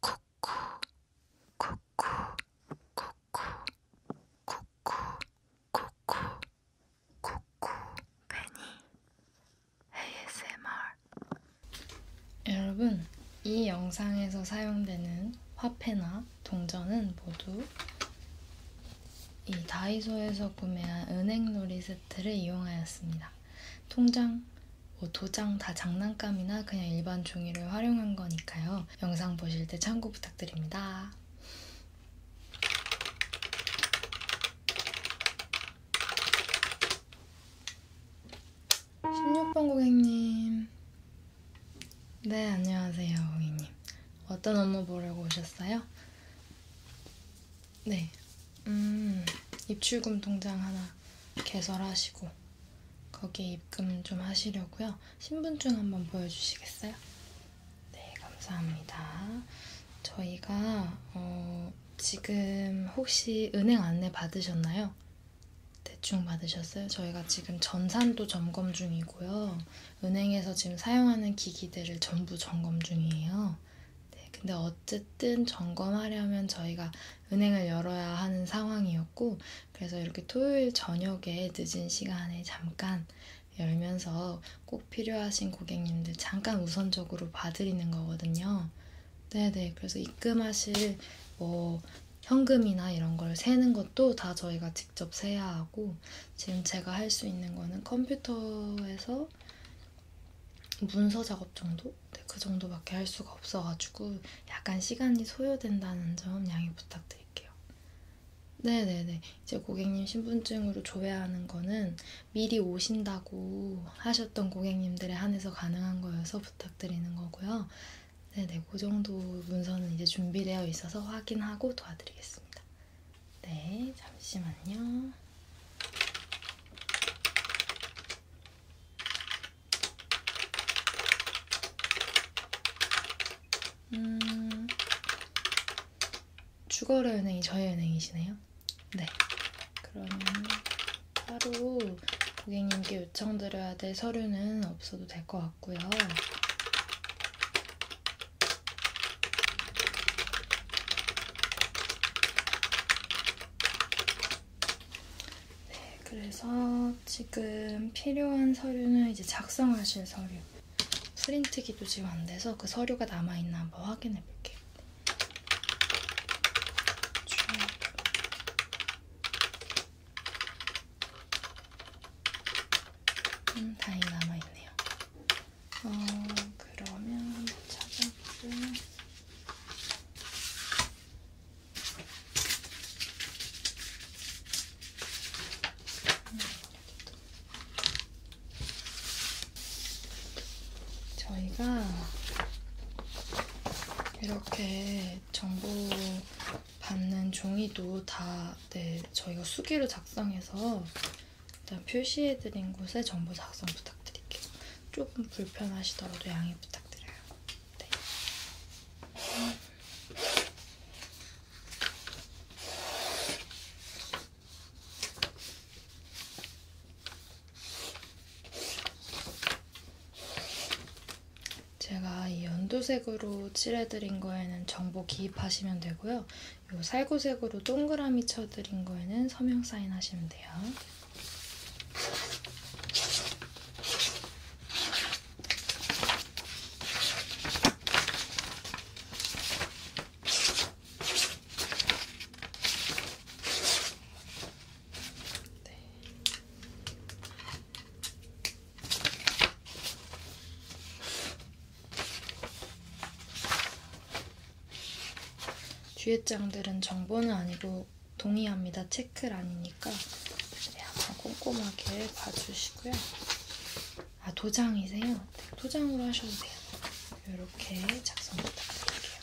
쿠쿠 쿠쿠 쿠쿠 쿠쿠 쿠쿠 쿠쿠 베니 ASMR 여러분 이 영상에서 사용되는 화폐나 동전은 모두 이 다이소에서 구매한 은행놀이 세트를 이용하였습니다. 통장 뭐 도장 다 장난감이나 그냥 일반 종이를 활용한 거니까요. 영상 보실 때 참고 부탁드립니다. 고객님. 네, 안녕하세요, 고객님. 어떤 업무 보려고 오셨어요? 네. 음, 입출금 통장 하나 개설하시고. 거기에 입금 좀 하시려고요. 신분증 한번 보여주시겠어요? 네, 감사합니다. 저희가 어, 지금 혹시 은행 안내 받으셨나요? 대충 받으셨어요? 저희가 지금 전산도 점검 중이고요. 은행에서 지금 사용하는 기기들을 전부 점검 중이에요. 네, 근데 어쨌든 점검하려면 저희가 은행을 열어야 하는 상황이었고, 그래서 이렇게 토요일 저녁에 늦은 시간에 잠깐 열면서 꼭 필요하신 고객님들 잠깐 우선적으로 봐드리는 거거든요. 네네. 그래서 입금하실 뭐 현금이나 이런 걸 세는 것도 다 저희가 직접 세야 하고, 지금 제가 할 수 있는 거는 컴퓨터에서 문서 작업 정도? 네, 그 정도밖에 할 수가 없어가지고 약간 시간이 소요된다는 점 양해 부탁드릴게요. 네네네. 이제 고객님 신분증으로 조회하는 거는 미리 오신다고 하셨던 고객님들에 한해서 가능한 거여서 부탁드리는 거고요. 네네. 그 정도 문서는 이제 준비되어 있어서 확인하고 도와드리겠습니다. 네. 잠시만요. 음, 주거래 은행이 저희 은행이시네요. 네. 그럼 따로 고객님께 요청드려야 될 서류는 없어도 될 것 같고요. 네, 그래서 지금 필요한 서류는 이제 작성하실 서류. 프린트기도 지금 안 돼서 그 서류가 남아있나 한번 확인해 볼게요. 음, 다행히 남아있네요. 어, 그러면 찾아보고 저희가 이렇게 정보 받는 종이도 다 네, 저희가 수기로 작성해서 일단 표시해드린 곳에 정보 작성 부탁드릴게요. 조금 불편하시더라도 양해 부탁드려요. 네. 제가 이 연두색으로 칠해드린 거에는 정보 기입하시면 되고요. 이 살구색으로 동그라미 쳐드린 거에는 서명 사인하시면 돼요. 네. 뒤에 장들은 정보는 아니고 동의합니다. 체크란이니까 네, 한 번 꼼꼼하게 봐주시고요. 아 도장이세요? 네, 도장으로 하셔도 돼요. 이렇게 작성 부탁드릴게요.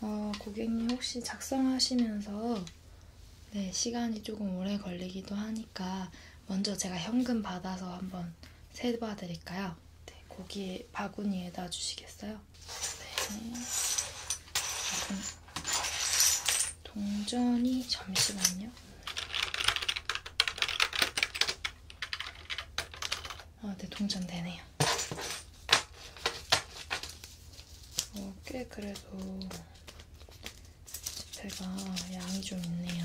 어, 고객님 혹시 작성하시면서 네, 시간이 조금 오래 걸리기도 하니까 먼저 제가 현금 받아서 한번 세봐 드릴까요? 있어요. 네, 고기 바구니에 놔주시겠어요? 네. 동전이 잠시만요. 아, 네, 동전 되네요. 어, 꽤 그래도 제가 양이 좀 있네요.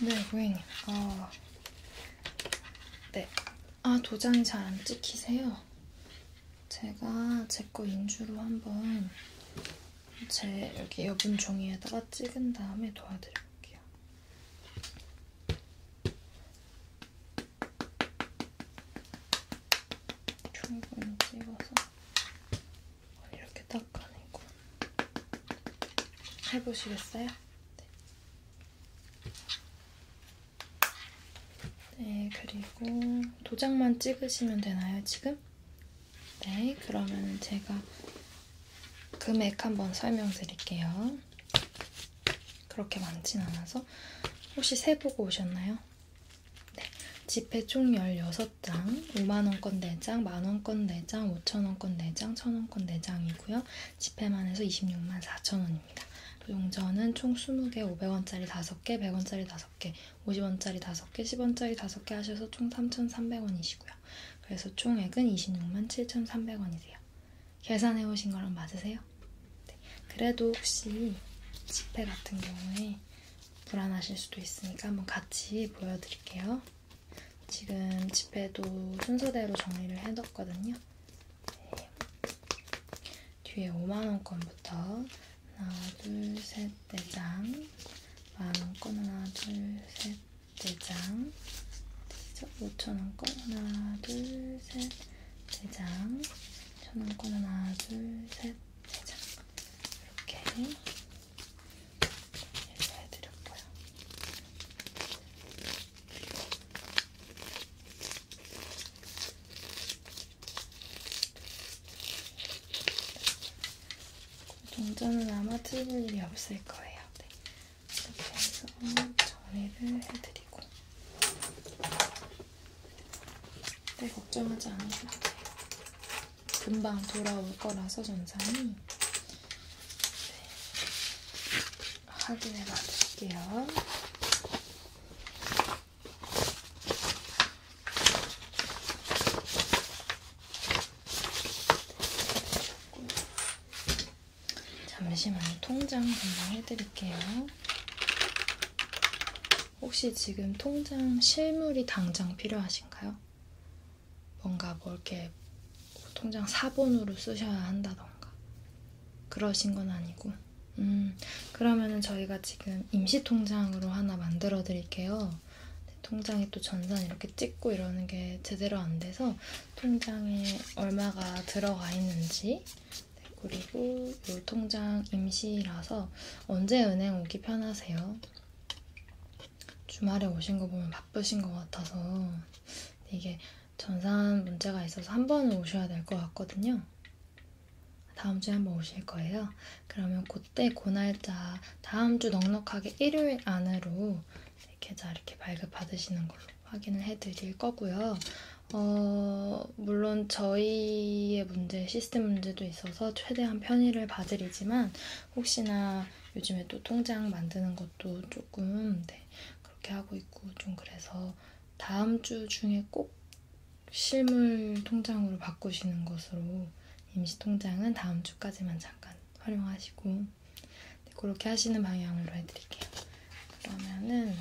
네, 고객님. 어, 네. 아, 도장이 잘 안 찍히세요. 제가 제 거 인주로 한번 제 여기 여분 종이에다가 찍은 다음에 도와드릴게요. 충분히 찍어서 이렇게 닦아내고 해보시겠어요? 네. 네, 그리고 도장만 찍으시면 되나요, 지금? 네, 그러면 제가 금액 한번 설명드릴게요. 그렇게 많진 않아서 혹시 세보고 오셨나요? 네, 지폐 총16 다섯 장, 5만원권 4장, 만원권 4장, 5천원권 4장, 1000원권 4장이고요. 지폐만 해서 26만 4천원입니다. 용전은 총 20개, 500원짜리 5개, 100원짜리 5개, 50원짜리 5개, 10원짜리 5개 하셔서 총 3,300원이시고요. 그래서 총액은 26만 7,300원이세요. 계산해 오신 거랑 맞으세요? 네. 그래도 혹시 지폐 같은 경우에 불안하실 수도 있으니까 한번 같이 보여드릴게요. 지금 집에도 순서대로 정리를 해뒀거든요. 네. 뒤에 5만원권부터 하나, 둘, 셋, 네장 만원권 하나, 둘, 셋, 네장 5천원권 하나, 둘, 셋, 네장 천원권 하나, 둘, 셋, 네장 이렇게 인사해드렸고요. 동전은 아마 틀릴 일이 없을 거예요. 네. 이렇게 해서 정리를 해드리고. 네, 걱정하지 않으셔도 돼요. 금방 돌아올 거라서 전산이 네. 확인해 봐드릴게요. 잠시만요. 통장 금방 해드릴게요. 혹시 지금 통장 실물이 당장 필요하신가요? 뭔가 뭐 이렇게 통장 사본으로 쓰셔야 한다던가 그러신 건 아니고 음 그러면은 저희가 지금 임시 통장으로 하나 만들어 드릴게요 통장에 또 전산 이렇게 찍고 이러는 게 제대로 안 돼서 통장에 얼마가 들어가 있는지 네, 그리고 이 통장 임시라서 언제 은행 오기 편하세요? 주말에 오신 거 보면 바쁘신 것 같아서 이게 전산 문제가 있어서 한 번은 오셔야 될 것 같거든요. 다음 주에 한 번 오실 거예요. 그러면 그때 그 날짜 다음 주 넉넉하게 일요일 안으로 계좌 이렇게 발급 받으시는 걸로 확인을 해드릴 거고요. 어, 물론 저희의 문제, 시스템 문제도 있어서 최대한 편의를 봐드리지만 혹시나 요즘에 또 통장 만드는 것도 조금 네, 그렇게 하고 있고 좀 그래서 다음 주 중에 꼭 실물 통장으로 바꾸시는 것으로 임시 통장은 다음 주까지만 잠깐 활용하시고 네, 그렇게 하시는 방향으로 해드릴게요. 그러면은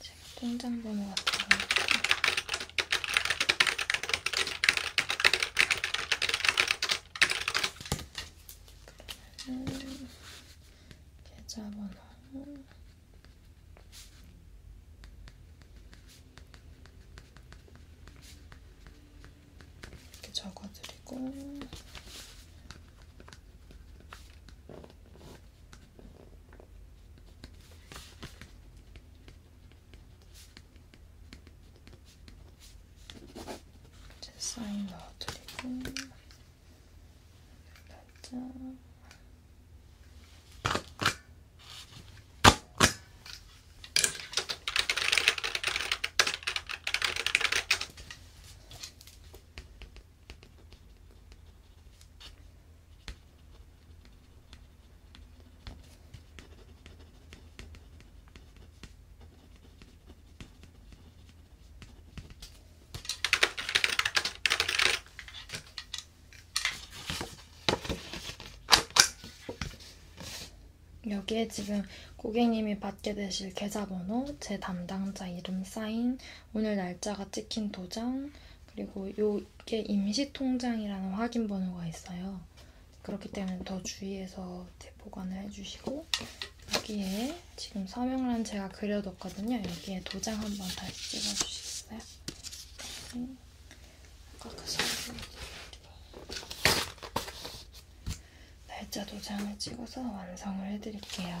제가 통장 번호 같은 거 그러면은 계좌번호 이렇게 적어드리고 제 사인 넣어드리고 살짝 여기에 지금 고객님이 받게 되실 계좌번호, 제 담당자 이름 사인, 오늘 날짜가 찍힌 도장, 그리고 요게 임시통장이라는 확인 번호가 있어요. 그렇기 때문에 더 주의해서 보관을 해주시고 여기에 지금 서명란 제가 그려뒀거든요. 여기에 도장 한번 다시 찍어주시겠어요? 네. 아까 그 서명 날짜 도장을 찍어서 완성을 해드릴게요.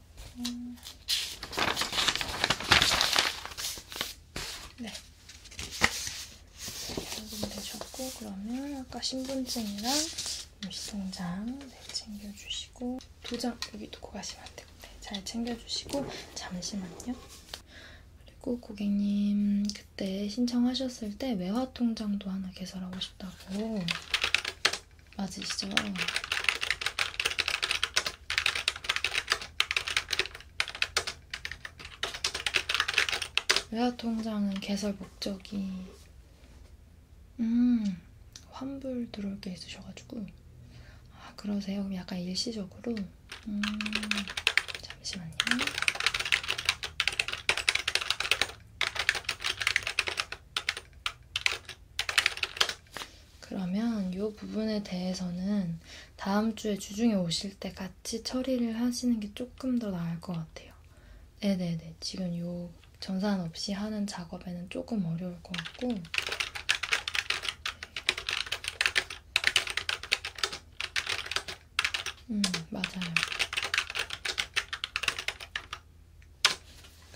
음. 네. 여분 되셨고 그러면 아까 신분증이랑 임시통장 네, 챙겨주시고 도장 여기 두고 가시면 안 되고 네, 잘 챙겨주시고 잠시만요. 그리고 고객님 그때 신청하셨을 때 외화통장도 하나 개설하고 싶다고 맞으시죠? 외화통장은 개설 목적이 음 환불 들어올 게 있으셔가지고 아 그러세요? 그럼 약간 일시적으로 음 잠시만요 그러면 이 부분에 대해서는 다음 주에 주중에 오실 때 같이 처리를 하시는 게 조금 더 나을 것 같아요. 네네네. 지금 요 전산 없이 하는 작업에는 조금 어려울 것 같고. 음, 맞아요.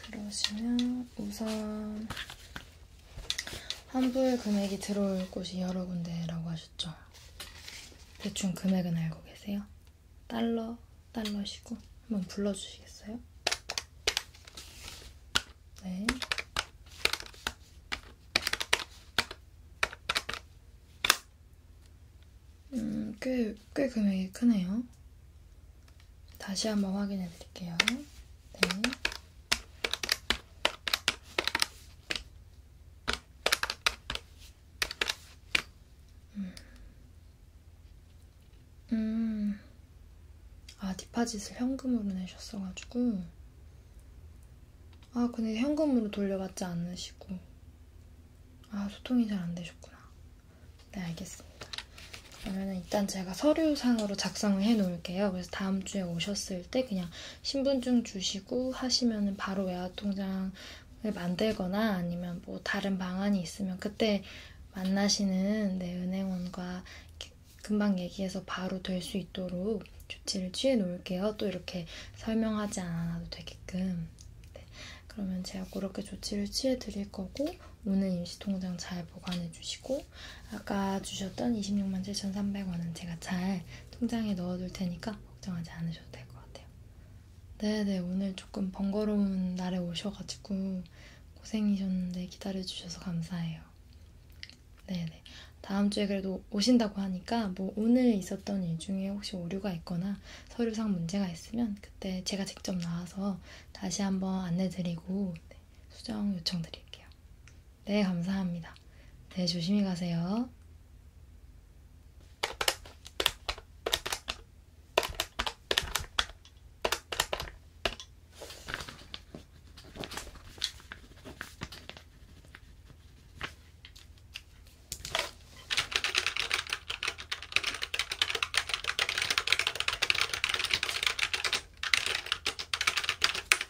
그러시면 우선 환불 금액이 들어올 곳이 여러 군데라고 하셨죠? 대충 금액은 알고 계세요? 달러, 달러시고 한번 불러주시겠어요? 네. 음, 꽤, 꽤 금액이 크네요. 다시 한번 확인해 드릴게요. 네. 음. 음. 아, 디파짓을 현금으로 내셨어가지고. 아, 근데 현금으로 돌려받지 않으시고. 아, 소통이 잘 안 되셨구나. 네, 알겠습니다. 그러면 일단 제가 서류상으로 작성을 해 놓을게요. 그래서 다음 주에 오셨을 때 그냥 신분증 주시고 하시면은 바로 외화통장을 만들거나 아니면 뭐 다른 방안이 있으면 그때 만나시는 내 네, 은행원과 금방 얘기해서 바로 될 수 있도록 조치를 취해 놓을게요. 또 이렇게 설명하지 않아도 되게끔. 네, 그러면 제가 그렇게 조치를 취해 드릴 거고 오늘 임시통장 잘 보관해 주시고 하고 아까 주셨던 26만 7,300원은 제가 잘 통장에 넣어둘 테니까 걱정하지 않으셔도 될 것 같아요. 네네 오늘 조금 번거로운 날에 오셔가지고 고생이셨는데 기다려주셔서 감사해요. 네네 다음 주에 그래도 오신다고 하니까 뭐 오늘 있었던 일 중에 혹시 오류가 있거나 서류상 문제가 있으면 그때 제가 직접 나와서 다시 한번 안내드리고 네, 수정 요청드릴게요. 네, 감사합니다. 네, 조심히 가세요.